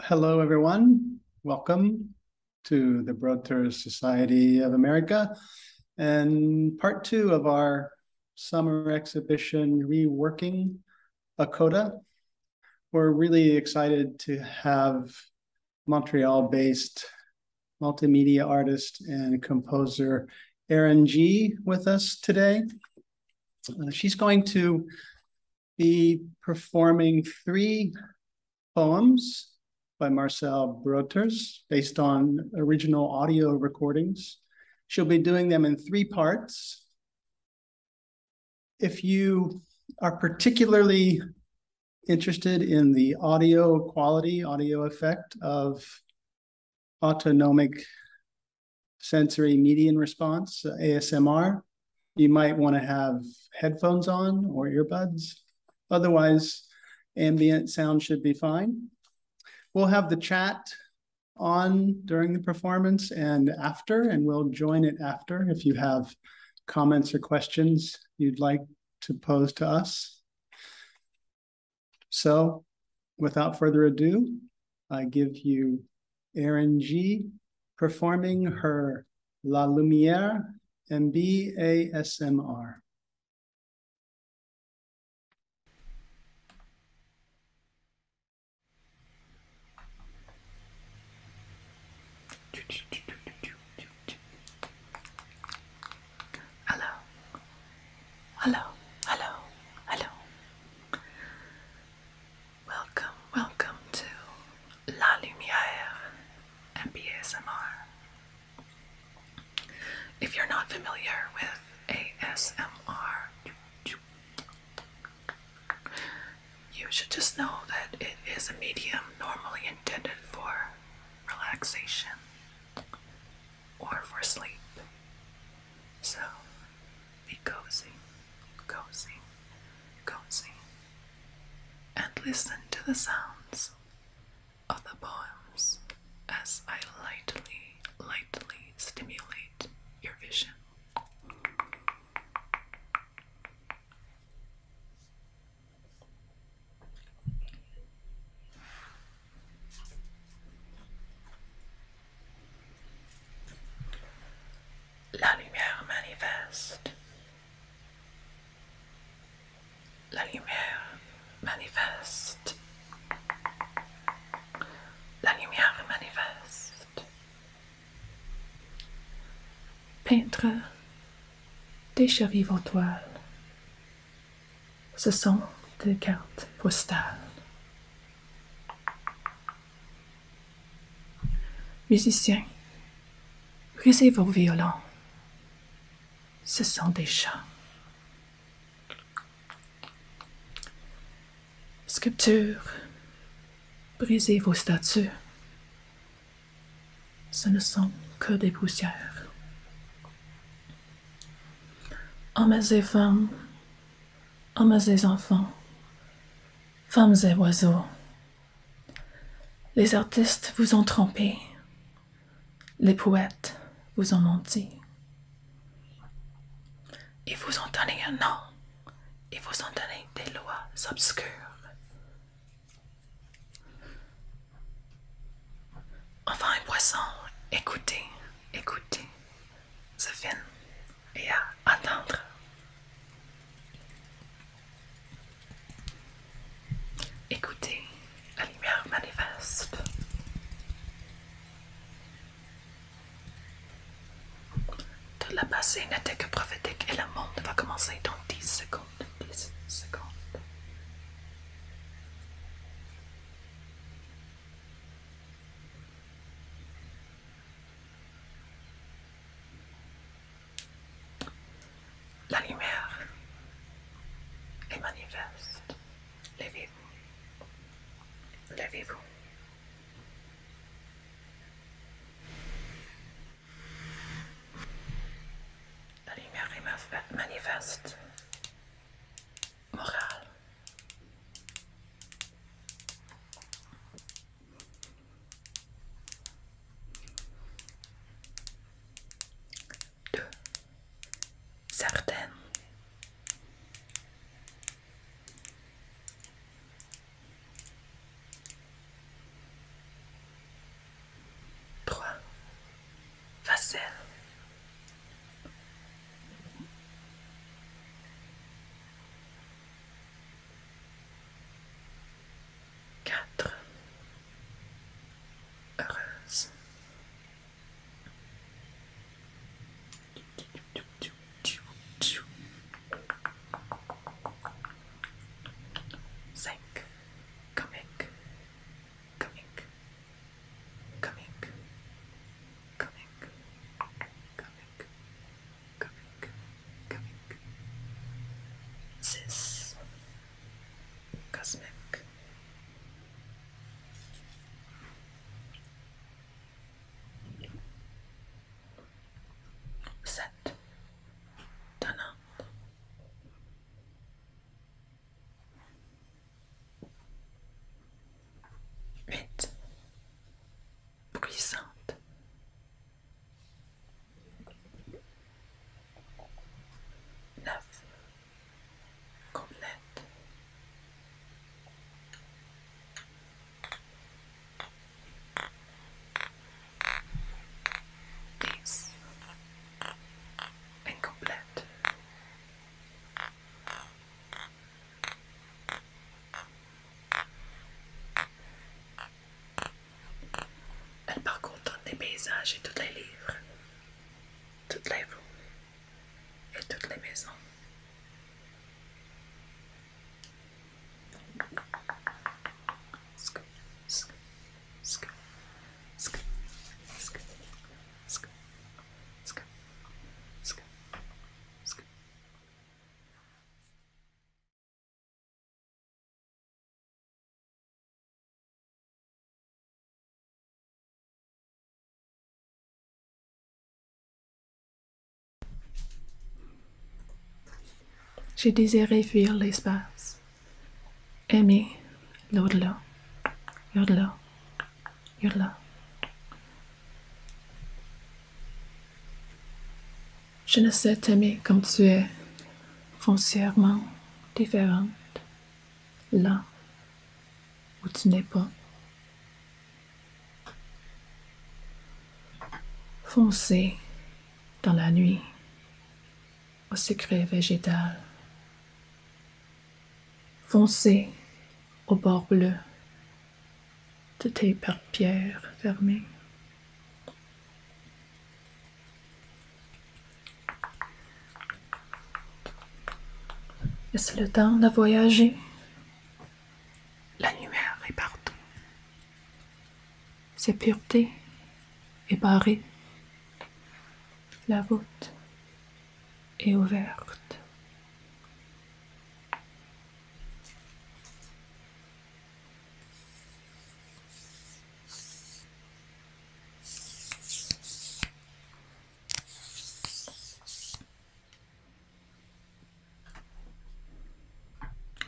Hello, everyone. Welcome to the Broadtour Society of America and part two of our summer exhibition, Reworking a Coda. We're really excited to have Montreal based multimedia artist and composer Erin G with us today. Uh, she's going to be performing three poems by Marcel Broters based on original audio recordings. She'll be doing them in three parts. If you are particularly interested in the audio quality, audio effect of autonomic sensory median response, ASMR, you might want to have headphones on or earbuds. Otherwise, ambient sound should be fine. We'll have the chat on during the performance and after, and we'll join it after if you have comments or questions you'd like to pose to us. So without further ado, I give you Erin G performing her La Lumière MBASMR. Hello, hello, hello, hello. Welcome, welcome to La Lumière and ASMR. If you're not familiar with ASMR, you should just know that it is a medium normally intended for relaxation or for sleep. So be cozy, cozy, cozy, and listen to the sounds of the poems as I lightly, lightly stimulate your vision. La lumière manifeste. La lumière manifeste. La lumière manifeste. Peintre, chevilles en toiles ce sont des cartes postales. Musiciens, brisez vos violons. Ce sont des chants. Sculpture, brisez vos statues ce ne sont que des poussières. Hommes et femmes, hommes et enfants, femmes et oiseaux, les artistes vous ont trompés, les poètes vous ont menti. Ils vous ont donné un nom, ils vous ont donné des lois obscures, Enfin un poisson, écoutez, écoutez ce film et à attendre. Écoutez la lumière manifeste. Tout le passé n'était que prophétique et le monde va commencer dans 10 secondes. La lumière est manifeste. Levez-vous. Levez-vous. La lumière est eh, manifeste, morale. Deux, certaines. 3. Facile Quatre. Heureuse. Cinq. Comique. coming, coming, coming, coming, coming, coming. This cosmic. Set, turn Huit, puissante Neuf, complète. Incomplète Elle parcourt tous les paysages et tous les livres, toutes les rues et toutes les maisons. Sk sk sk sk sk sk J'ai désiré fuir l'espace. aimer l'au-delà, l'au-delà, l'au-delà. Je ne sais t'aimer comme tu es, foncièrement différente, là où tu n'es pas. foncé dans la nuit au secret végétal. foncé au bord bleu de tes paupières fermées. est-ce le temps de voyager. La lumière est partout. Ses pureté est barrée. La voûte est ouverte.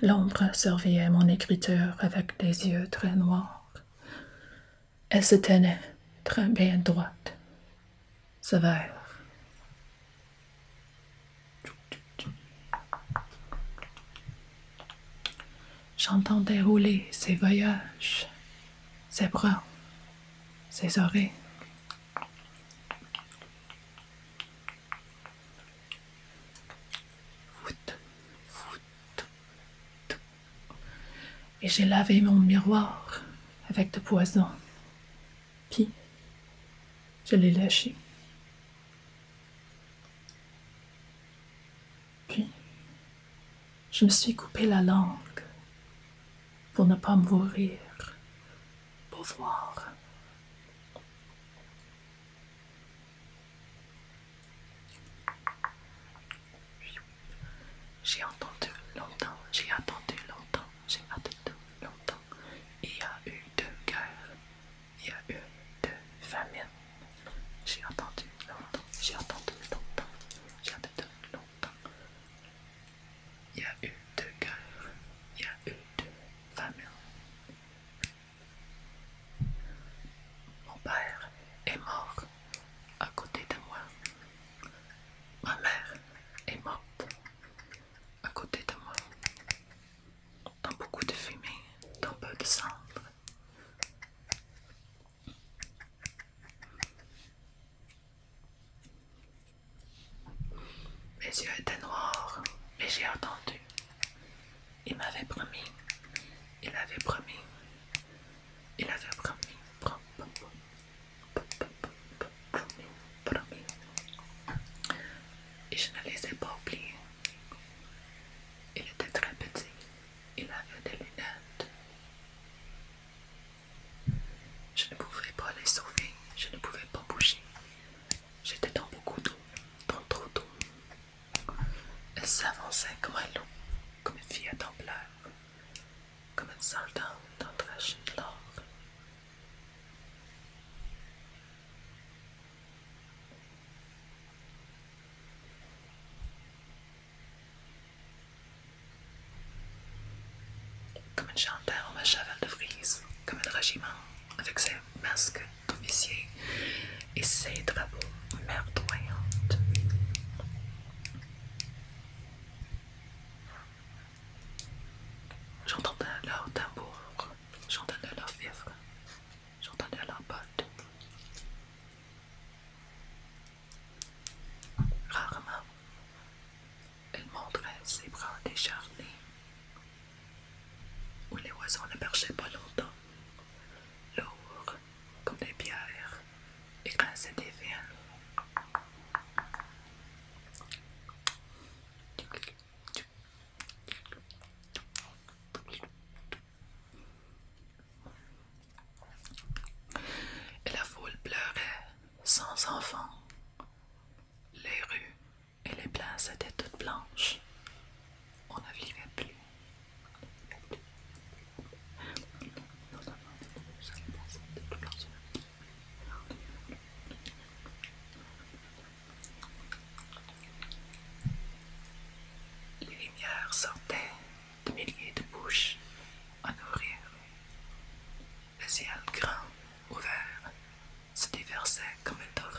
L'ombre surveillait mon écriture avec des yeux très noirs. Elle se tenait très bien droite, sévère. J'entendais rouler ses voyages, ses bras, ses oreilles. Et j'ai lavé mon miroir avec de poison. Puis, je l'ai lâché. Puis, je me suis coupé la langue pour ne pas mourir, pour voir. J'ai entendu longtemps, j'ai attendu longtemps, j'ai attendu longtemps. Il y a eu deux guerre, il y a eu deux familles, J'ai attendu longtemps, j'ai attendu longtemps, j'ai attendu longtemps. Il y a eu deux guerre, il y a eu deux familles. Mon père est mort à côté de moi. Ma mère est morte à côté de moi. Dans beaucoup de fumée, dans peu de cendres. Mes yeux étaient noirs mais j'ai entendu il m'avait promis. Il avait promis. Il avait promis. Promis. Promis. Et je ne les ai pas oubliés. Il était très petit. Il avait des lunettes. Je ne pouvais pas les sauver. Je ne pouvais pas bouger. J'étais dans beaucoup d'eau, dans trop d'eau. Elle s'avançait comme un loup, comme une fille à comme une soldante d'entrachée de l'or. Comme une chanteur en ma de frise, comme un régiment, avec ses masques commissier et ses drapeaux merdoyants J'entendais leur tambour, j'entendais leur vivre, j'entendais leur botte. Rarement, elle montrait ses bras décharnés, où les oiseaux ne marchaient pas longtemps, lourds comme des pierres, et grinçaient des veines. Et la foule pleurait sans enfants Les rues et les places étaient toutes blanches, on ne vivait plus. Les lumières sortaient de milliers de bouches à nourrir. Le ciel grand, ouvert, se déversait comme un torrent.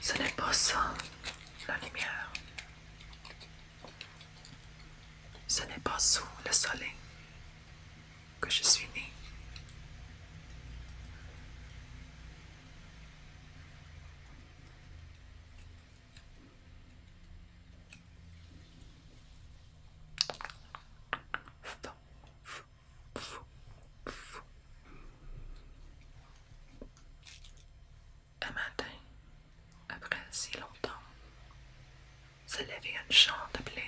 Ce n'est pas sans la lumière. Ce n'est pas sous le soleil que je suis né. Un matin, après si longtemps, se levait une chante blé,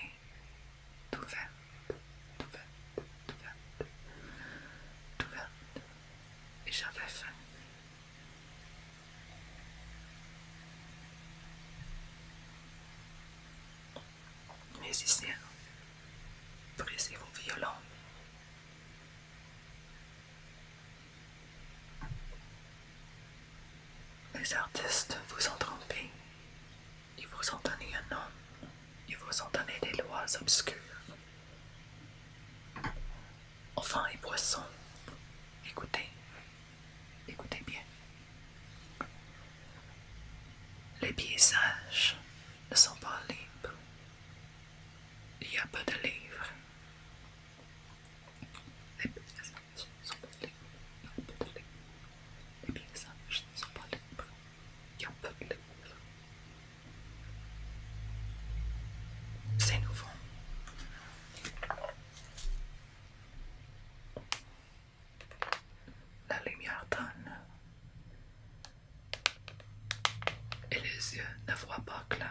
tout verte, tout verte, tout verte, tout verte, et j'avais faim. Musiciens, brisez vos violons les artistes vous ont trompé. Ils vous ont donné un nom. Ils vous ont donné des lois obscures. Enfin, et poissons, écoutez. Écoutez bien. Les paysages ne sont pas libres. Il y a peu de livres. Les pièces ne sont pas libres. Il y a peu de livre. Les pièces ne sont pas libres. Il y a peu de livre. C'est nouveau. La lumière donne et les yeux ne voient pas clair.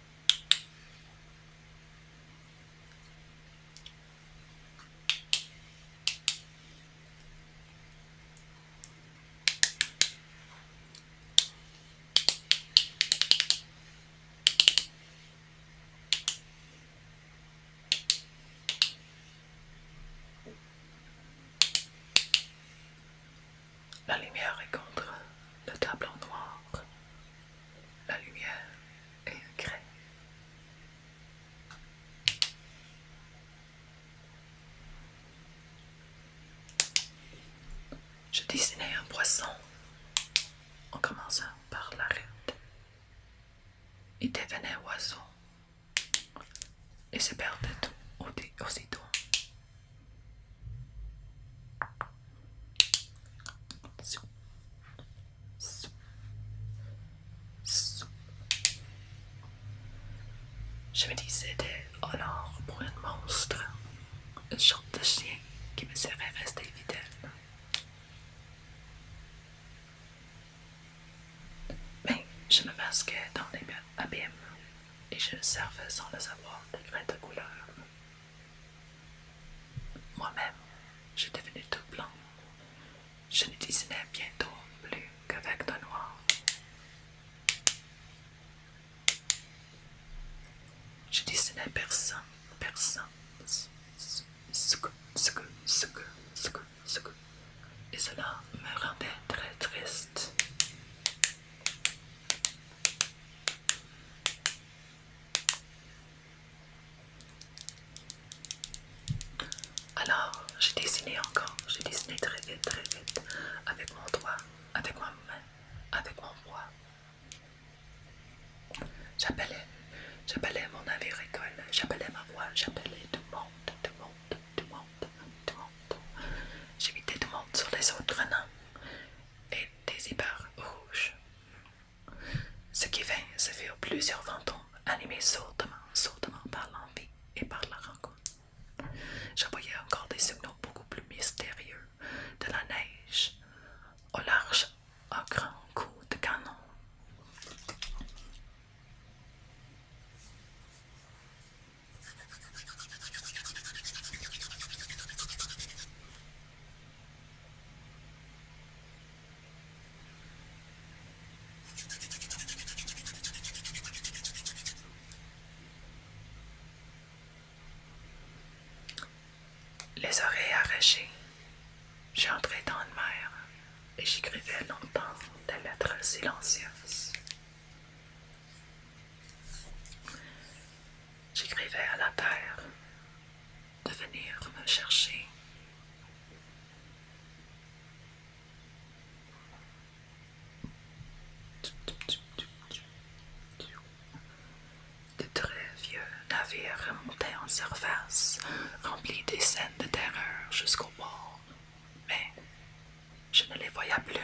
La lumière est contre le tableau noir. La lumière je dessinais un poisson en commençant par la l'arête. Il devenait oiseau et se perdait aussitôt. Je me disais alors pour un monstre, une sorte de chien qui me serait rester fidèle. Mais ben, je me masquais dans les abîmes et je servais sans le savoir de vraie de couleur. Moi-même, je devenais tout blanc. Je ne dessinais bientôt plus qu'avec de noir. Je dessinais personne, personne. Et cela me rendait très triste. Alors, j'ai dessiné encore, j'ai dessiné très vite, très vite, avec mon doigt, avec ma main, avec mon bras. J'appelais, j'appelais mon navire école, j'appelais ma voix, j'appelais tout le monde, tout le monde, tout le monde, tout le monde. J'évitais tout le monde sur les autres noms et des ébars rouges. Ce qui vint se faire plusieurs fantômes animés sourdement, sourdement par l'envie et par la rencontre. Je voyais encore des signaux beaucoup plus mystérieux, de la neige au large à grand coup de canon. Les oreilles arrachées, j'entrais dans le mer et j'écrivais longtemps des lettres silencieuses. J'écrivais à la terre, de venir me chercher. De très vieux navires remontaient en surface, remplis des scènes de terreur jusqu'au bord, mais je ne les voyais plus.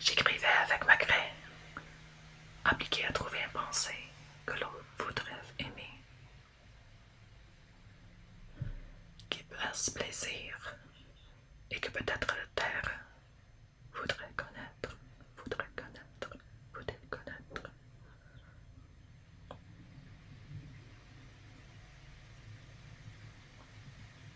J'écrivais avec ma craie, Appliquer à trouver un pensée que l'autre voudrait aimer, qui fasse plaisir et que peut-être la terre voudrait connaître, voudrait connaître, voudrait connaître.